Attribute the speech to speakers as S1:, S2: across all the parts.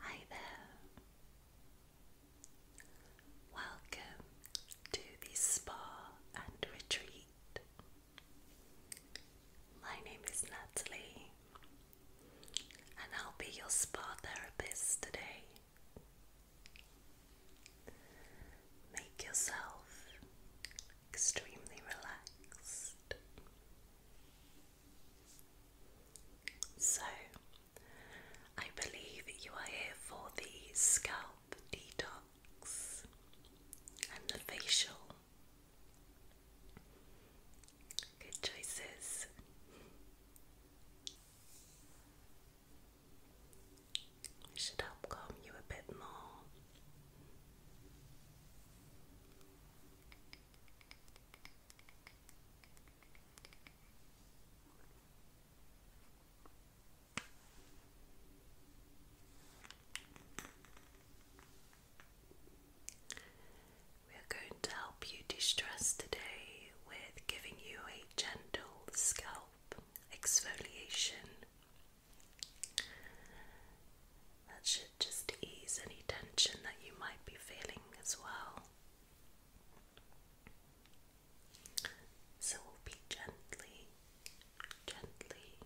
S1: Hi there. Welcome to the spa and retreat. My name is Natalie, and I'll be your spa therapist today. Make yourself extremely relaxed. So, I believe you are here for the scalp detox and the facial. Good choices. should help calm you a bit more. We are going to help you de stress today with giving you a gentle scalp exfoliation. That should just to ease any tension that you might be feeling as well. So we'll be gently, gently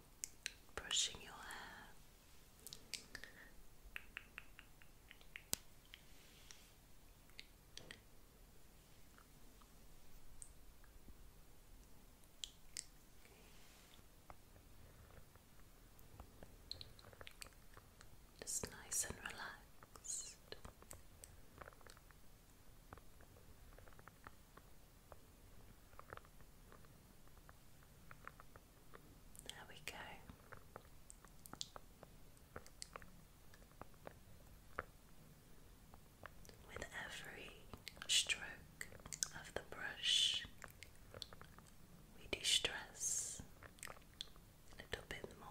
S1: brushing your hair. Just nice and relaxed. There we go. With every stroke of the brush, we distress a little bit more.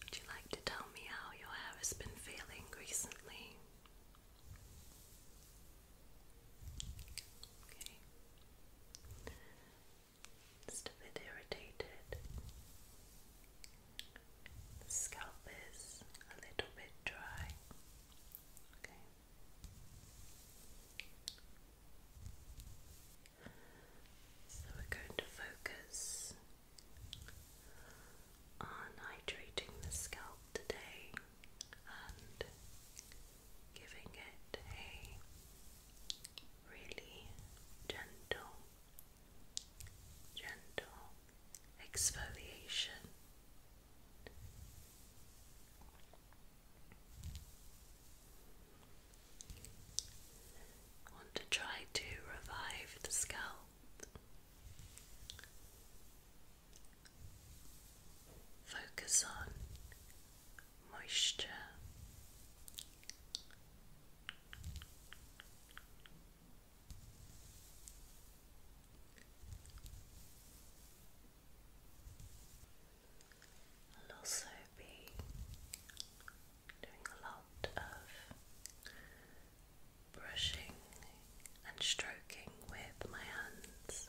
S1: Would you like to tell me how your hair has been feeling recently? just a bit irritated. The scalp is a little bit dry. So we're going to focus on hydrating the scalp today and giving it a really gentle, gentle exfoliation. want to try to revive the scalp. Focus on moisture. I'll also be doing a lot of brushing and stroking with my hands.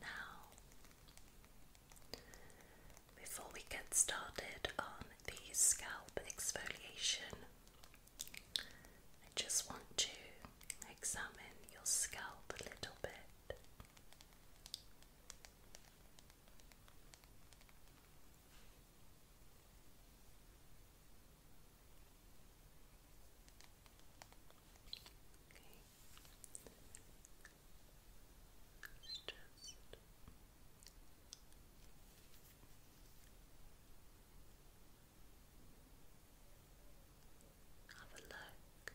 S1: Now, before we get started on the scalp exfoliation, I just want to examine your scalp a little bit. Have a look.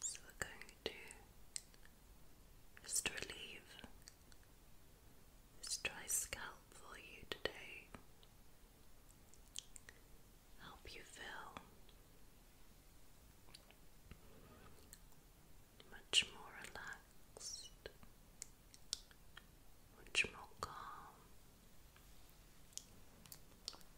S1: So we're going to just relieve this dry scalp for you today. Help you feel much more relaxed, much more calm.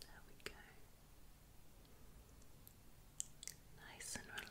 S1: There we go. Nice and relaxed.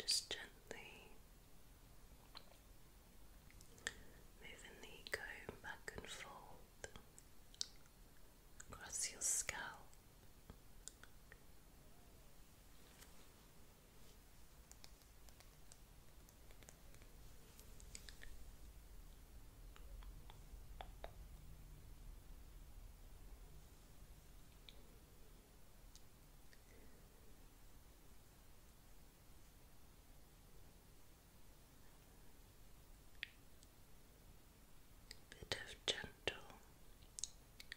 S1: Just gently moving the comb back and forth across your skull bit of gentle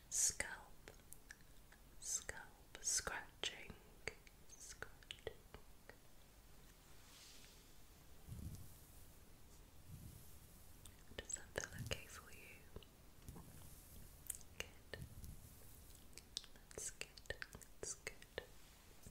S1: scalp, scalp scratching, Does that feel okay for you? Good. That's good. That's good.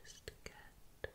S1: Just get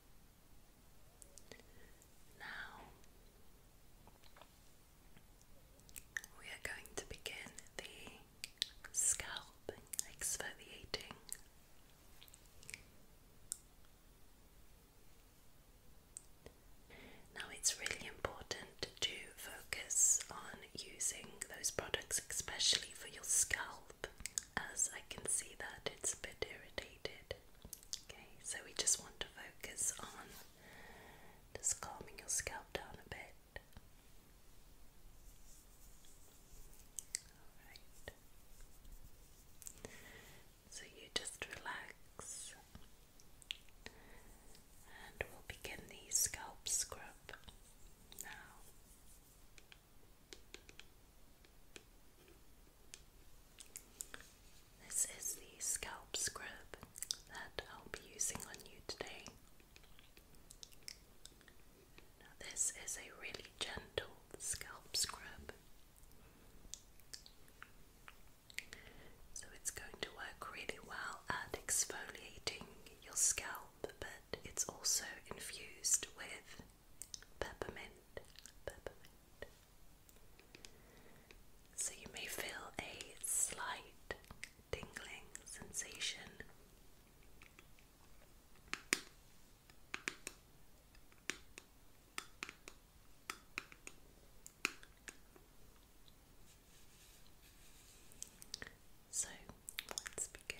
S1: Now we are going to begin the scalp exfoliating. Now it's really important to focus on using those products, especially for your scalp, as I can see that it's a bit irritated. Okay, so we just want to focus on just calming your scalp down a bit. So you just relax and we'll begin the scalp scrub now. This is the scalp scrub that I'll be using on you today. this is a really gentle scalp scrub. So, it's going to work really well at exfoliating your scalp, but it's also infused with peppermint. Peppermint. So you may feel a slight tingling sensation. So let's begin.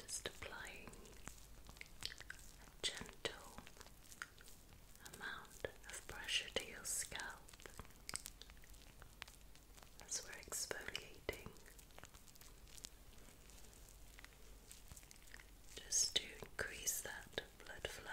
S1: Just applying a gentle amount of pressure to your scalp as we're exfoliating. Just to increase that blood flow.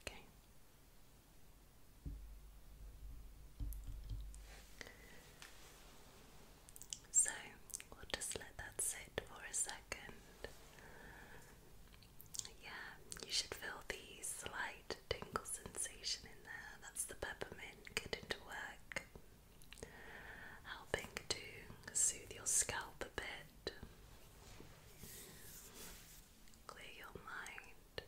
S1: Okay. So we'll just let that sit for a second. Yeah, you should feel the slight tingle sensation in there. That's the peppermint getting to work helping to soothe your scalp a bit, clear your mind.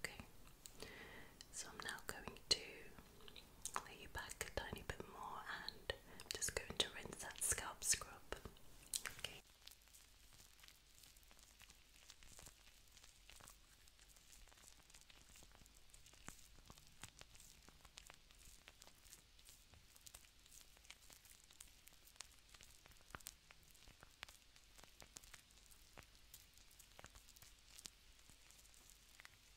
S1: Okay, so I'm now going to I'll lay you back a tiny bit more and I'm just going to rinse that scalp scrub. Okay,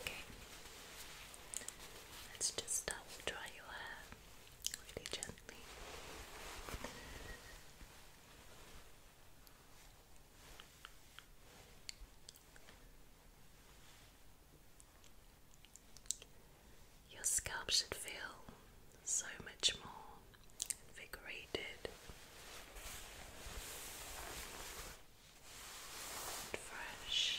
S1: Okay, let's just start um, with dry your hair really gently. Your scalp should feel so much more invigorated fresh.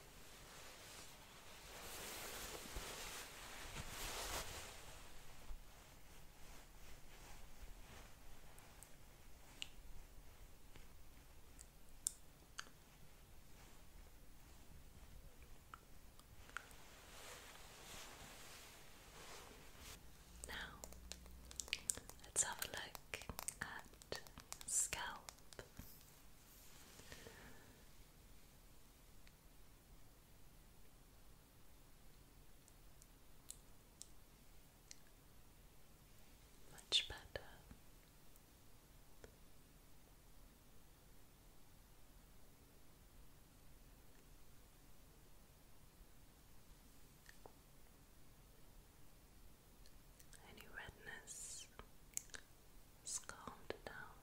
S1: Now, let's have a look at scalp. Much better. Any redness calmed down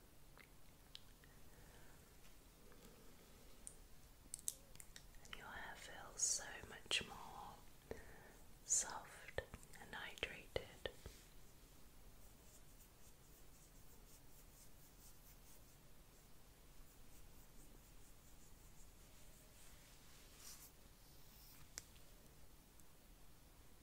S1: your hair feels so much more soft and hydrated.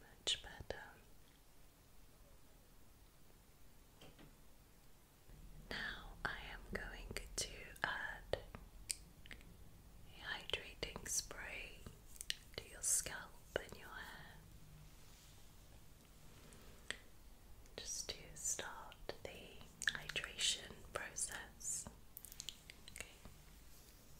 S1: Much better. Now I am going to add hydrating spray to your scalp and your hair just to start the hydration process. Okay.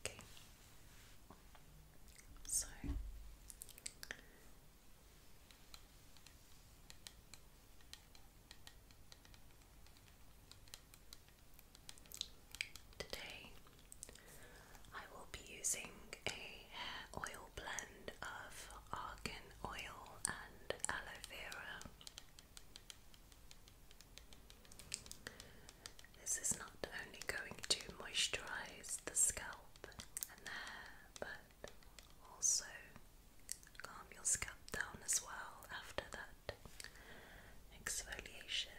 S1: Okay. So Today, I will be using a hair oil blend of Argan oil and aloe vera. This is not only going to moisturize the scalp and the hair, but also calm your scalp down as well after that exfoliation.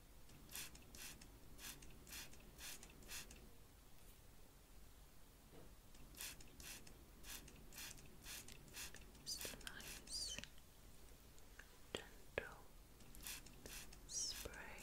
S1: Just a nice gentle spray.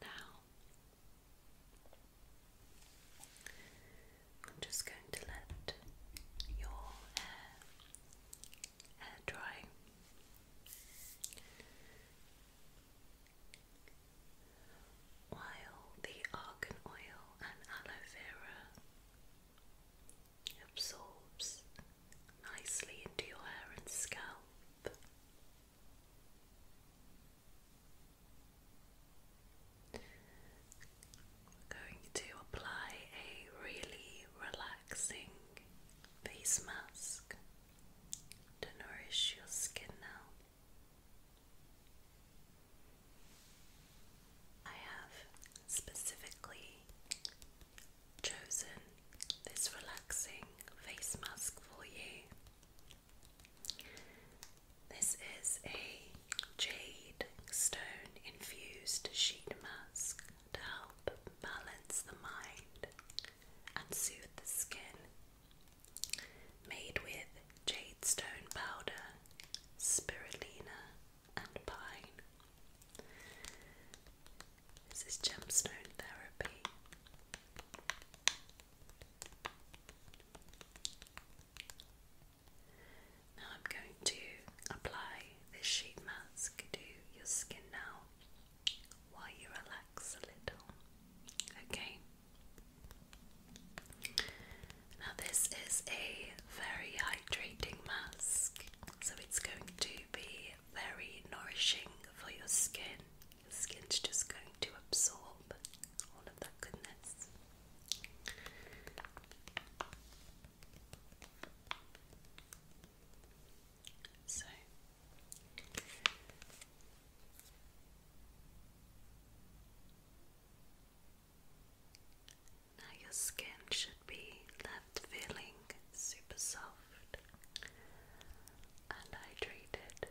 S1: Now, I'm just going to let your hair, hair dry. While the argan oil and aloe vera absorbs nicely into your hair and scalp. going to apply a really relaxing face mask to nourish your skin now. I have specifically chosen this relaxing face mask for you. This is a jade stone infused sheet mask to help balance the mind and soothe the skin. Made with jade stone powder, spirulina, and pine. This is gemstone therapy. Now I'm going to apply this sheet mask to your skin now while you relax a little. Okay. Now, this is a very hydrating mask. So it's going to be very nourishing for your skin. Your skin's just going to absorb all of that goodness. So now your skin should be left feeling super soft and hydrated.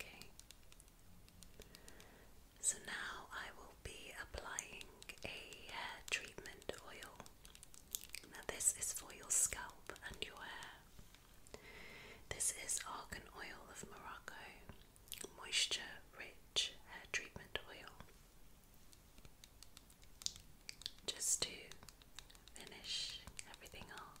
S1: Okay. So now I will be applying a treatment oil. Now, this is for your scalp and your hair. This is argan oil of Morocco, moisture rich hair treatment oil. Just to finish everything off.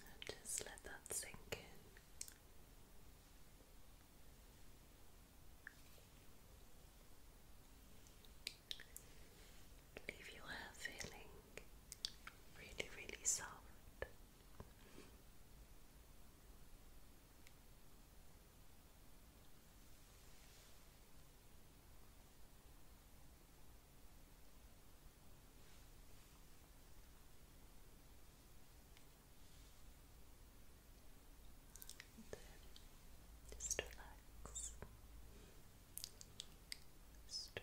S1: And just let that sink in. Leave your hair feeling really, really soft. And just relax. Just relax. Good.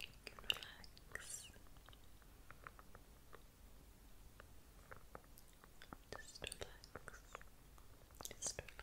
S1: You can relax. Just relax. Just relax. Just relax.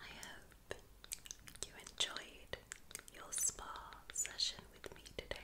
S1: I hope you enjoyed your spa session with me today.